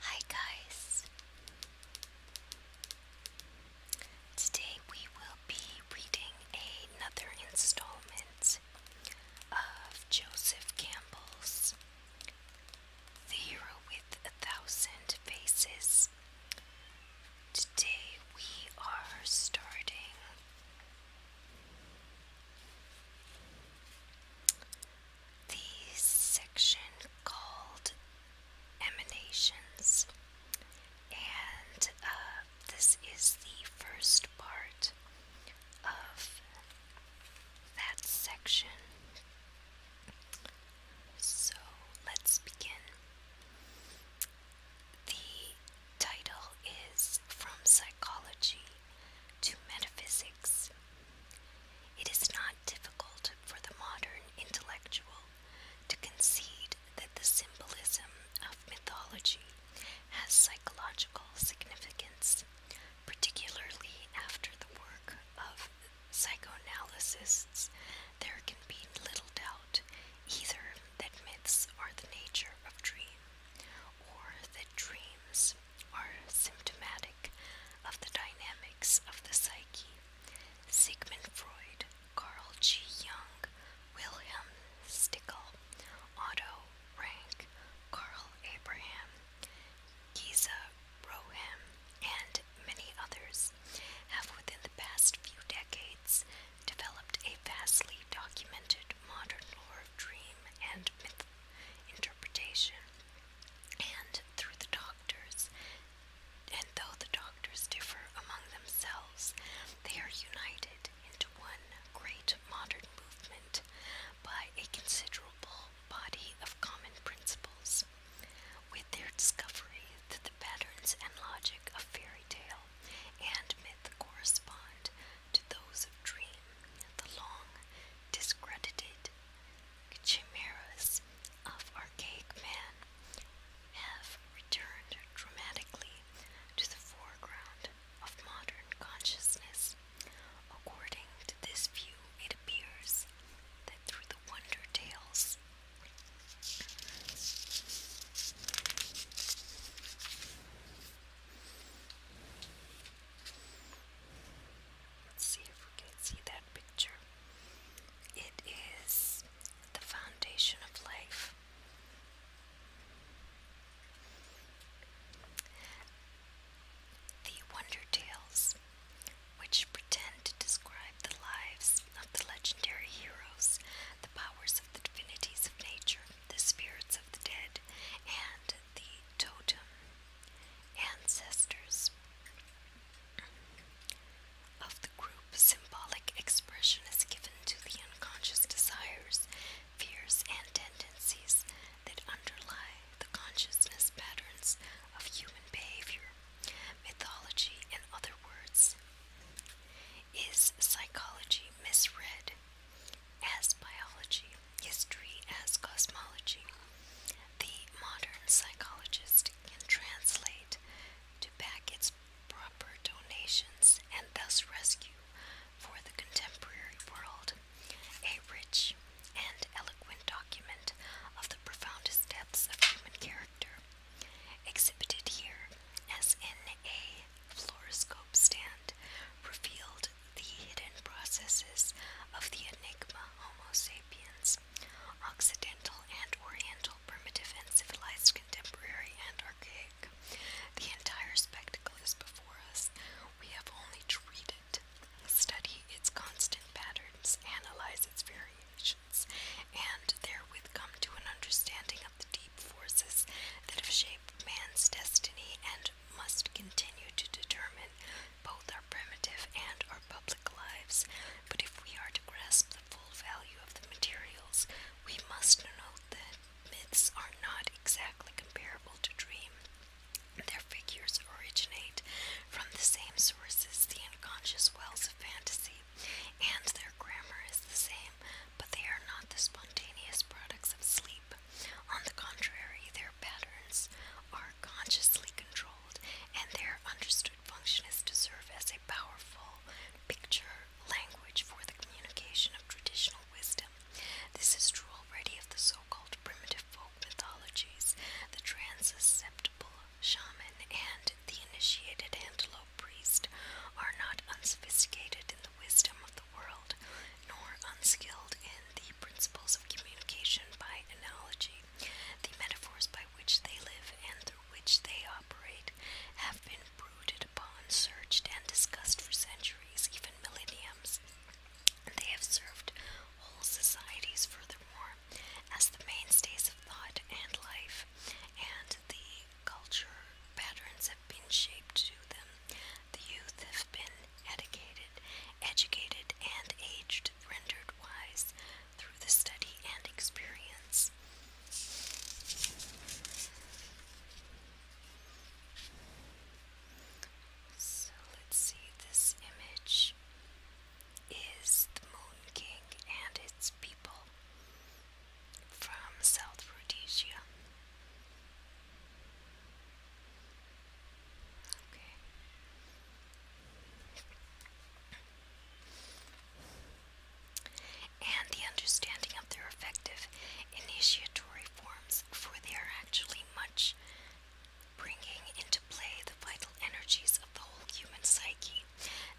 Hi guys! Today we will be reading another installment of Joseph Campbell's The Hero with a Thousand Faces. Today we are starting the section called Emanations, and uh, this is the first part of that section. So let's begin. The title is From Psychology to metaphysics. It is not difficult for the modern intellectual to concede that the symbolism of mythology has psychological significance, particularly after the work of psychoanalysts. There can be little doubt either that myths are the nature of dream or that dreams or symptomatic of the dynamics of the psyche. Sigmund Freud, Carl G. Jung, Wilhelm Stickel, Otto Rank, Carl Abraham, Giza Rohem, and many others have within the past few decades developed a vastly documented modern lore of dream and myth interpretation and through the doctors. And though the doctors differ among themselves, they are united into one great modern movement by a considerable body of common principles. With their discovery that the patterns and logic of fairy tale and myth correspond to those of dream, the long discredited chimeras of archaic man have returned dramatically to the foreground of modern consciousness. According to this view, it appears that through the wonder tales if we can see that picture. It is the foundation of life. The Wonder Tales, which pretend to describe the lives of the legendary heroes, the powers of the divinities of nature, the spirits of the dead, and the totem ancestors of the group. Symbolic expression is given to the unconscious desires, fears, and tendencies that underlie the consciousness patterns of human behavior. Mythology, in other words, is psychology misread as biology? history as cosmology. The modern psychologist can translate to back its proper donations and thus rescue for the contemporary world a rich and eloquent document of the profoundest depths of human character, exhibited here as in a fluoroscope stand revealed the hidden processes of the enigma Homo sapiens, Occidental and Oriental, primitive and civilized, contemporary and archaic. The entire spectacle is before us. We have only treated, studied its constant patterns, analyzed its variations, and therewith come to an understanding of the deep forces that have shaped man's destiny and must continue to determine both our primitive and our public lives, but if we are to grasp the full value of the materials, we must note that myths are not exactly comparable to dream. Their figures originate from the same sources, the unconscious wells of fantasy, and their grammar is the same, but they are not the spontaneous products of sleep. On the contrary, their patterns are consciously controlled, and their understood function is to serve as a powerful picture language for the communication of traditional wisdom. This is true already of the so called primitive folk mythologies, the transceptible shaman and the initiated antelope priest are not unsophisticated in the wisdom of the world, nor unskilled in the principles of communication by analogy. The metaphors by which they live and through which they operate have been brooded upon, searched, and discussed for centuries, even millenniums. They have served whole societies, furthermore, as the mainstays of thought and life, and the culture patterns have been shaped to them. The youth have been educated, educated and aged, rendered wise through the study and experience. So let's see, this image is the Moon King and its people from South Rhodesia. And the understanding of their effective initiatory forms, for they are actually much bringing into play the vital energies of the whole human psyche.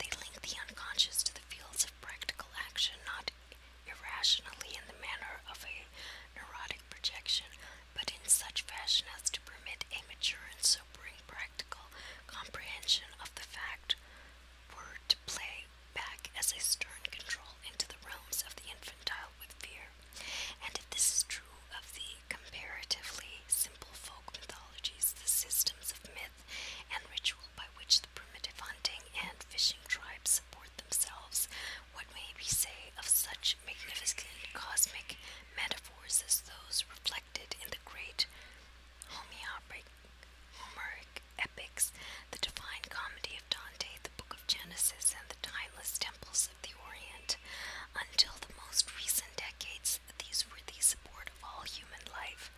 They link the unconscious to the fields of practical action, not irrationally in the manner of a neurotic projection, but in such fashion as to permit a mature and sobering practical comprehension of the fact were to play back as a stern control into the realms of the infantile with fear. And if this is true of the comparatively simple folk mythologies, the systems of myth and ritual by which the primitive hunting and fishing tribes support themselves what may we say of such magnificent cosmic metaphors as those reflected in the great Homeric epics, the divine comedy of Dante, the book of Genesis, and the timeless temples of the Orient? Until the most recent decades, these were the support of all human life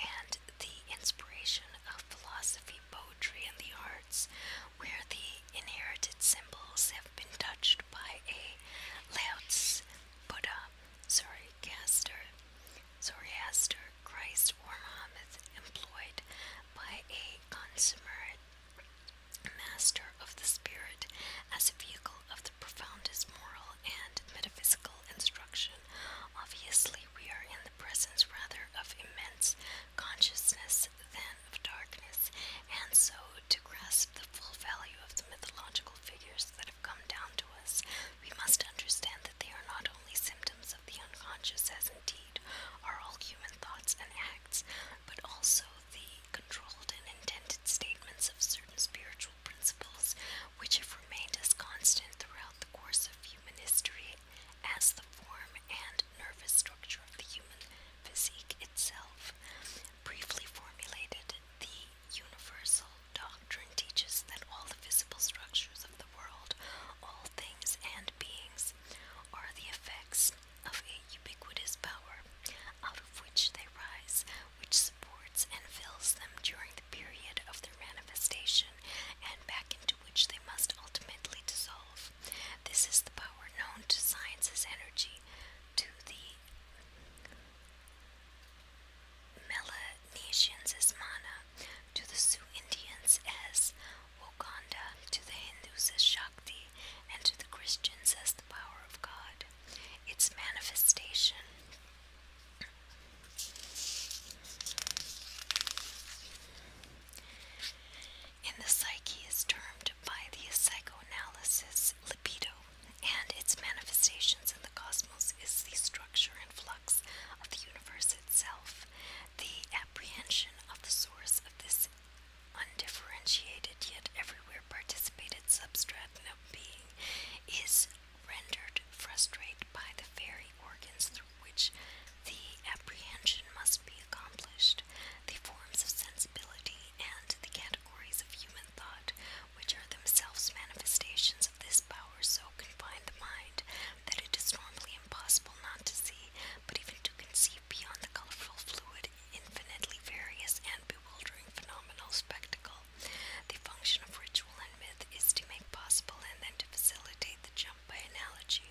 and the inspiration of philosophy, poetry, and the arts, where the inherited symbols have been touched by a Laots Buddha, Zoroaster, Zoroaster, Christ, or Muhammad, employed by a consummate master of the spirit as a vehicle of the profoundest moral and metaphysical instruction. Obviously, we are in the presence rather of immense consciousness than of darkness, and so to grasp the full value of the mythological figures that have come down to us, we must understand that they are not only symptoms of the unconscious, as indeed are all human thoughts and acts, but also the controlled and intended statements of certain spiritual principles which have remained as constant throughout the course of human history as the form and nervous structure of the human physique itself briefly formulated, the universal doctrine teaches that all the visible structures of the world, all things and beings, are the effects of a ubiquitous power, out of which they rise, which supports and fills them during the period of their manifestation, and back into which they must ultimately dissolve. This is the power known to science as energy, to the Melanesians as mana, to the Sioux Indians as Wakanda, to the Hindus as Shakti, and to the Christians as the power of God. Its manifestation in the psyche is termed by the psychoanalysis libido, and its manifestations in the cosmos is the structure and flux of the universe itself. The apprehension of the source of this undifferentiated yet everywhere participated substratum of being is rendered frustrated by the very organs through which the apprehension must be accomplished. The forms of sensibility and the categories of human thought, which are themselves manifestations of this power, so confine the mind that it is normally impossible not to see, but even to conceive beyond the colorful, fluid, infinitely various, and bewildering phenomenal spectacle. The function of ritual and myth is to make possible and then to facilitate the jump by analogy,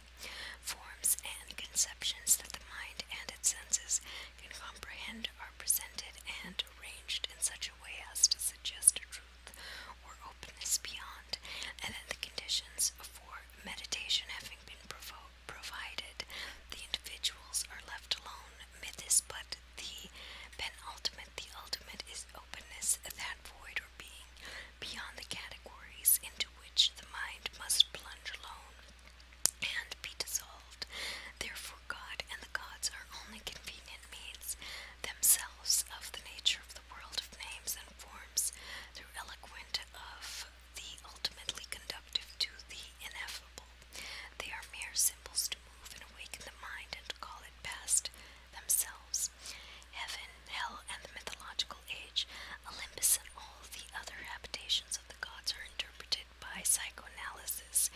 forms, and conceptions that the mind and its senses can comprehend are presented and arranged in such a way as to suggest a truth or openness beyond, and then the conditions for meditation having been provo provided, the individuals are left alone. Mythis, but the penultimate, the ultimate is openness, that void or being beyond the categories into which the mind must plunge alone and be dissolved. Therefore, God and the gods are only convenient means themselves of the nature of the world of names and forms, through eloquent of the ultimately conductive to the ineffable. They are mere symbols to move and awaken the mind and call it past themselves. Heaven, hell, and the mythological age, Olympus, and all the other habitations of the gods are interpreted by psychoanalysis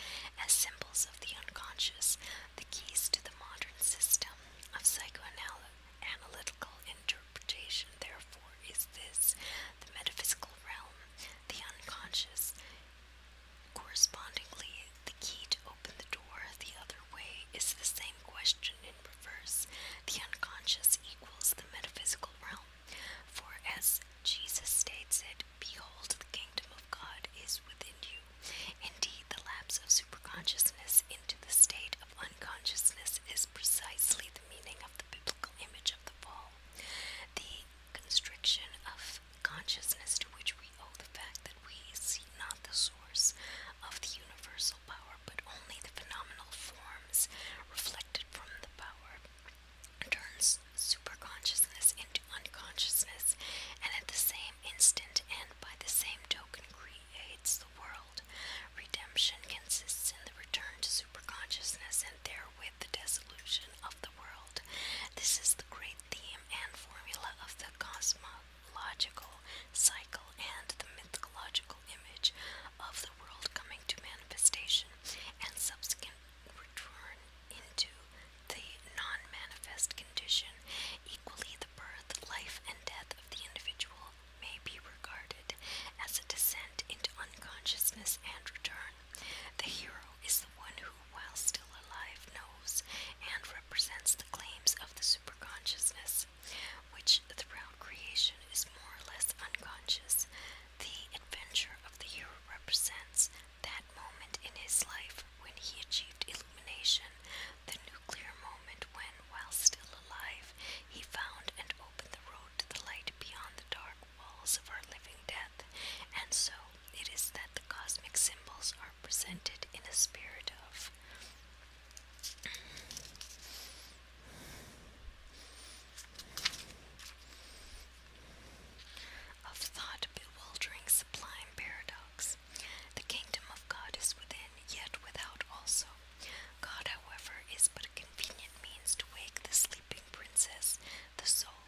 as symbols of the unconscious, the keys to the modern system of psychoanalytical interpretation, therefore, is this the metaphysical realm, the unconscious. Correspondingly, the key to open the door the other way is the same question in reverse. The unconscious equals the metaphysical realm. For as Jesus states it, Behold, the kingdom of God is within you. Indeed, the lapse of superconsciousness into the state of unconsciousness is precisely the meaning of the biblical image of the fall. The constriction of consciousness to which we owe the fact that we see not the source of the universal power, but only the phenomenal forms reflected from the power turns superconsciousness into unconsciousness, and at the same instant and by the same token creates the world. Redemption consists in the return to superconsciousness and therewith the dissolution of the world. This is the great theme and formula of the cosmological cycle and the mythological image of the world coming to manifestation and subsequent return into the non manifest condition. Equally, the birth, life, and death of the individual may be regarded as a descent into unconsciousness and return. The hero is the one who, while still alive, knows and represents the claims of the superconsciousness, which throughout creation is more or less unconscious, the adventure of the hero represents that moment in his life when he achieved illumination, the nuclear moment when, while still alive, he found and opened the road to the light beyond the dark walls of our living death, and so it is that the cosmic symbols are presented in a spirit of of thought bewildering sublime paradox. The kingdom of God is within, yet without also. God, however, is but a convenient means to wake the sleeping princess, the soul.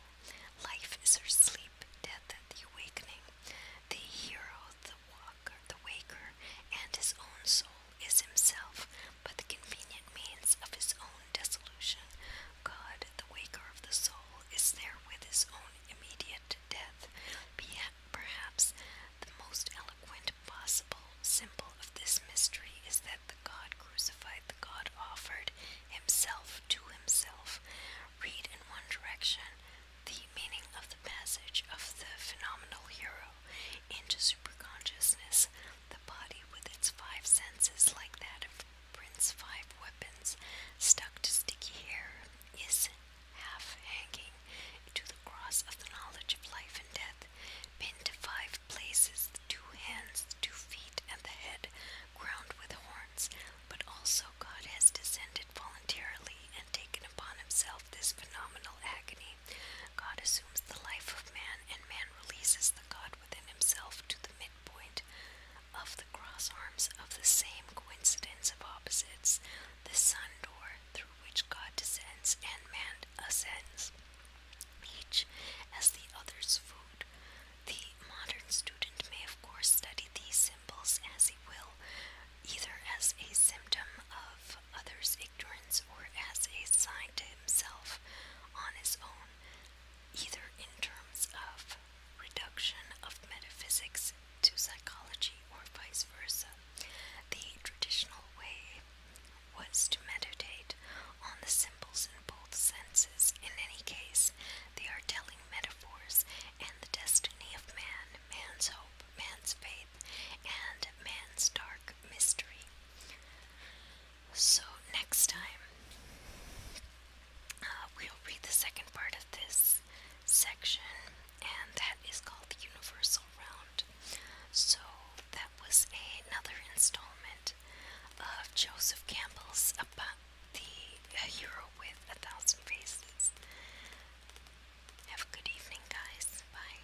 Life is her sleep, death the awakening. The hero, the walker, the waker, and his own soul is himself by the convenient means of his own dissolution, God, the waker of the soul, is there with his own immediate death. Be perhaps the most eloquent possible symbol of this mystery is that the God crucified, the God offered himself to himself. Read in one direction the meaning of the passage of the phenomenal hero into superconsciousness. The body, with its five senses, like that of Prince Five Weapons, stuck to sticky hair, is half hanging to the cross of the knowledge of life and death, pinned to five places the two hands, the two feet, and the head, crowned with horns. But also, God has descended voluntarily and taken upon himself this phenomenal agony. God assumes the life of man, and man releases the God within himself to the midpoint of the cross arms of the same coincidence of opposites, the sun door through which God descends and man ascends, each as the other's food. The modern student may, of course, study these symbols as he will, either as a symptom of others' ignorance or as a sign to himself on his own either in terms of reduction of metaphysics to psychology or vice versa. The traditional way was to meditate on the symbols in both senses. In any case, they are telling metaphors and the destiny of man, man's hope, man's faith, and man's dark mystery. So, next time, uh, we'll read the second part of this section, and that is called the Universal Round. So, that was another installment of Joseph Campbell's about the hero with a thousand faces. Have a good evening, guys. Bye.